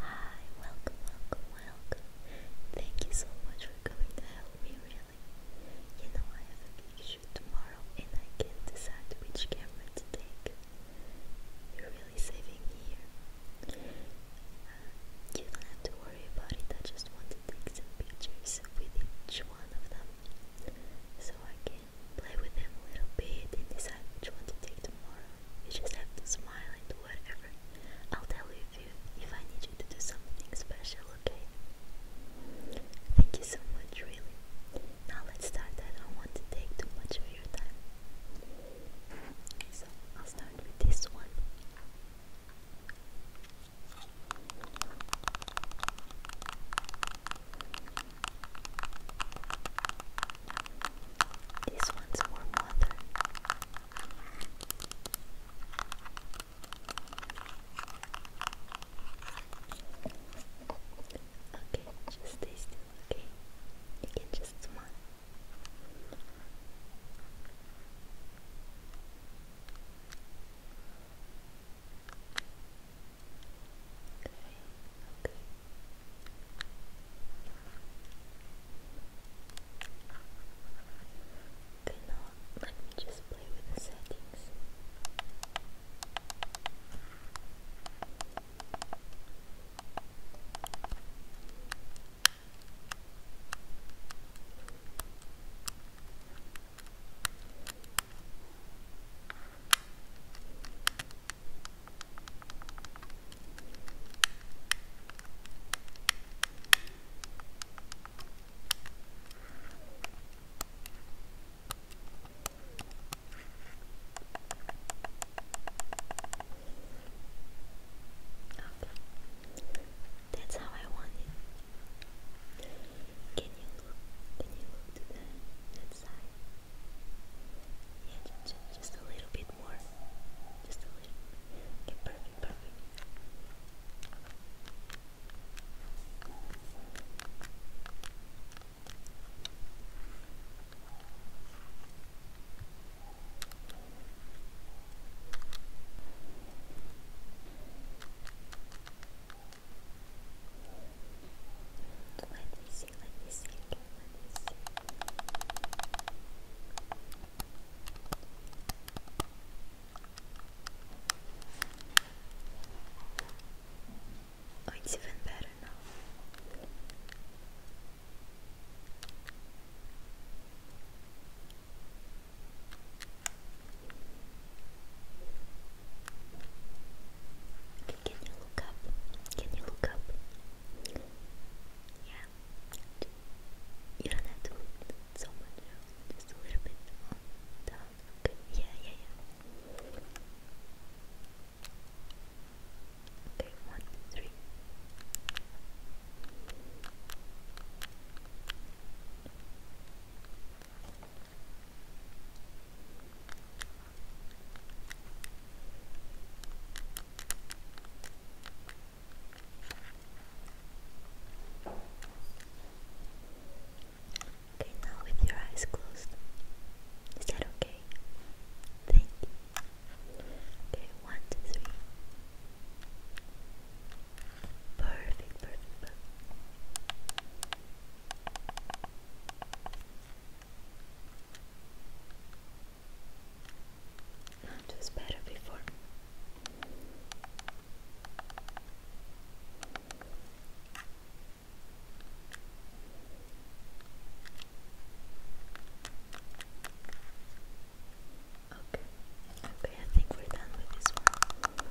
Hi, welcome, welcome, welcome. Thank you so much for coming to help me, really. You know, I have a big shoot tomorrow and I can't decide which camera to take. You're really saving here. Uh, you don't have to worry about it, I just want to take some pictures with each one of them so I can Play with them a little bit and decide which one to take tomorrow. You just have to smile and do whatever. I'll tell you if, if I need you to do something special, okay? Thank you so much, really. Now let's start. I don't want to take too much of your time. So I'll start with this one. This one's more modern. Okay, just stay still, okay? You can just smile. Okay, okay. Okay, now just play with the settings. Okay. That's how I want it. Can you look? Can you look to the, inside. Yeah, just, a little bit more. Just a little. Okay, perfect, perfect. Let me see, let me see, let me see. Oh, it's even better now. Can you look up? Can you look up? Yeah. You don't have to so much, just a little bit Yeah, yeah, yeah. Okay, Okay, now with your eyes closed. Is that okay? Thank you. Okay, one, two, three. Perfect, perfect, perfect. It was better before. Okay, okay, I think we're done with this one.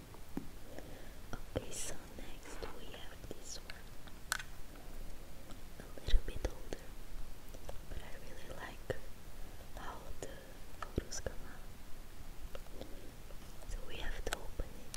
Okay, so next we have this one. A little bit older, but I really like how the photos come out. So we have to open it.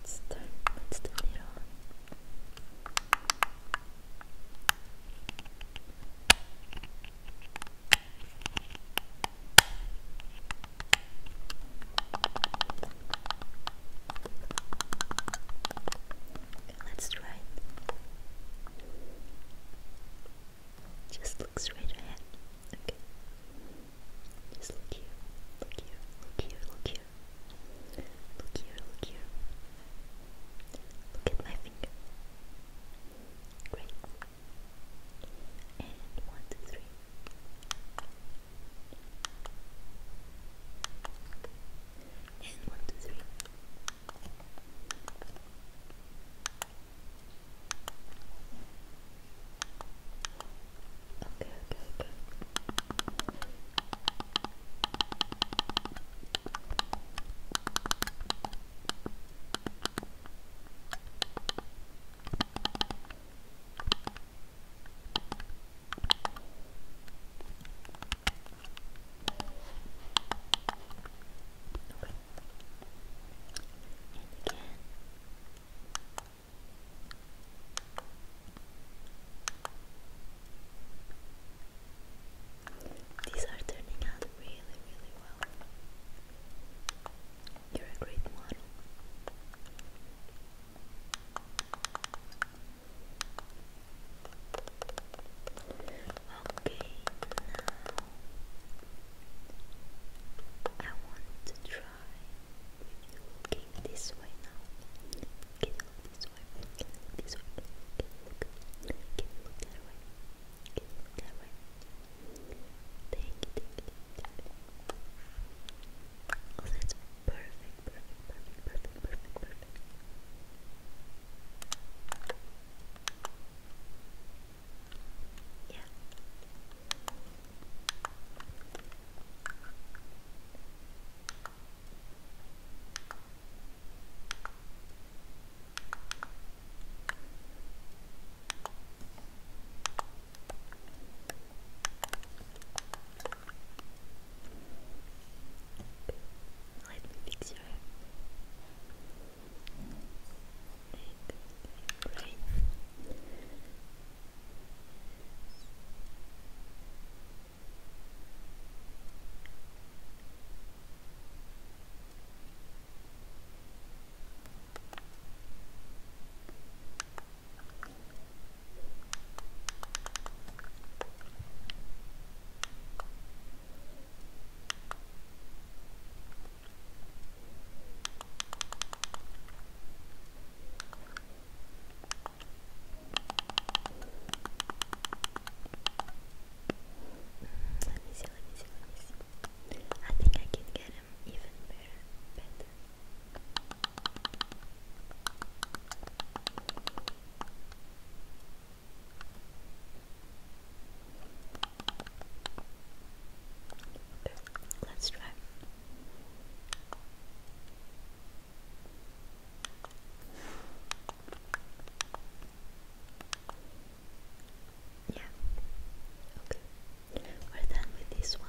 Let's turn, let's turn it on. Let's try Just look straight ahead. Okay. Just look here, look here, look here, look here. Look here, look here. Look at my finger. Great. And one, two, three. And one, two, three. Okay, okay, okay. And again. These are turning out really, really well. You're a great model. Okay, I want to try try. Okay, this way now. Can this way? Can this way? Can you look? Can that way? Can that way? Thank you, thank you, thank you. that's perfect, perfect, perfect, perfect, perfect, perfect. Yeah. Let me fix your hair brain. Let me see, let me see, let me see. I think I can get him even better, let's try. Yeah. Okay. We're done with this one.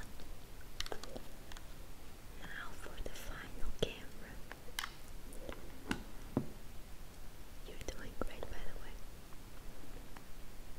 Now for the final camera. You're doing great by the way.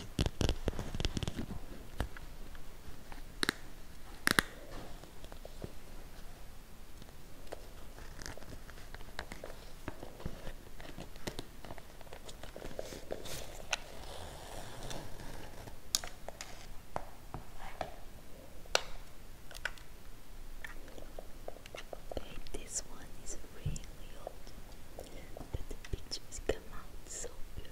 Babe, this one is really but the picture is them so beautiful.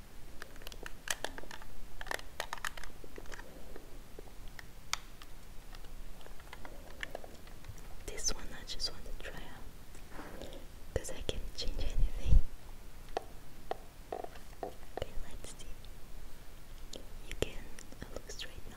This one I just want to try out because I can change anything. Okay, let's see. You can look straight now.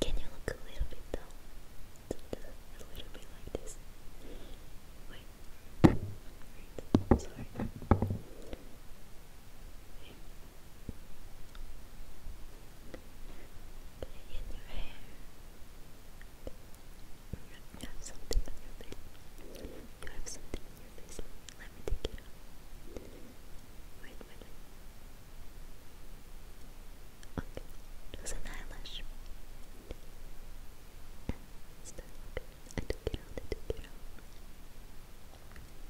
Can you look a little bit down? A little bit like this. Sorry. Play You have something on your face. You have something on your face. Let me take it off. Wait a minute. Okay, just an eyelash. I took it out, I took it out.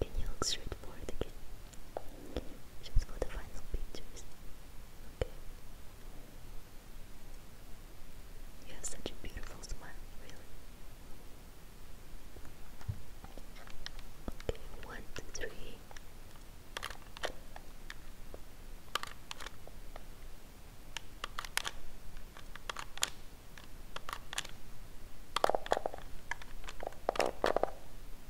Can you look straight forward again? Just for the final pictures. Okay. You have such a beautiful smile, Okay, one, two, three.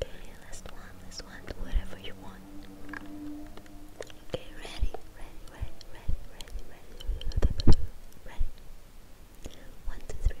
Okay, last one, last one, whatever you want. Okay, ready, ready, ready, ready, ready, ready, ready. One, two, three.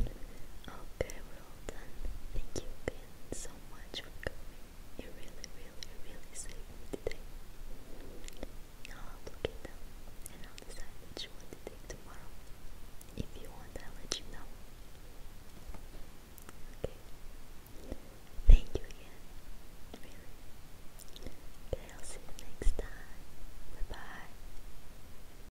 Okay, we done. Thank you again so much for coming. You really, really, really saved I'll look it and I'll decide what you to take tomorrow. If you want, I'll let you know. Okay. Thank you again. Okay, I'll see you next time. Bye bye.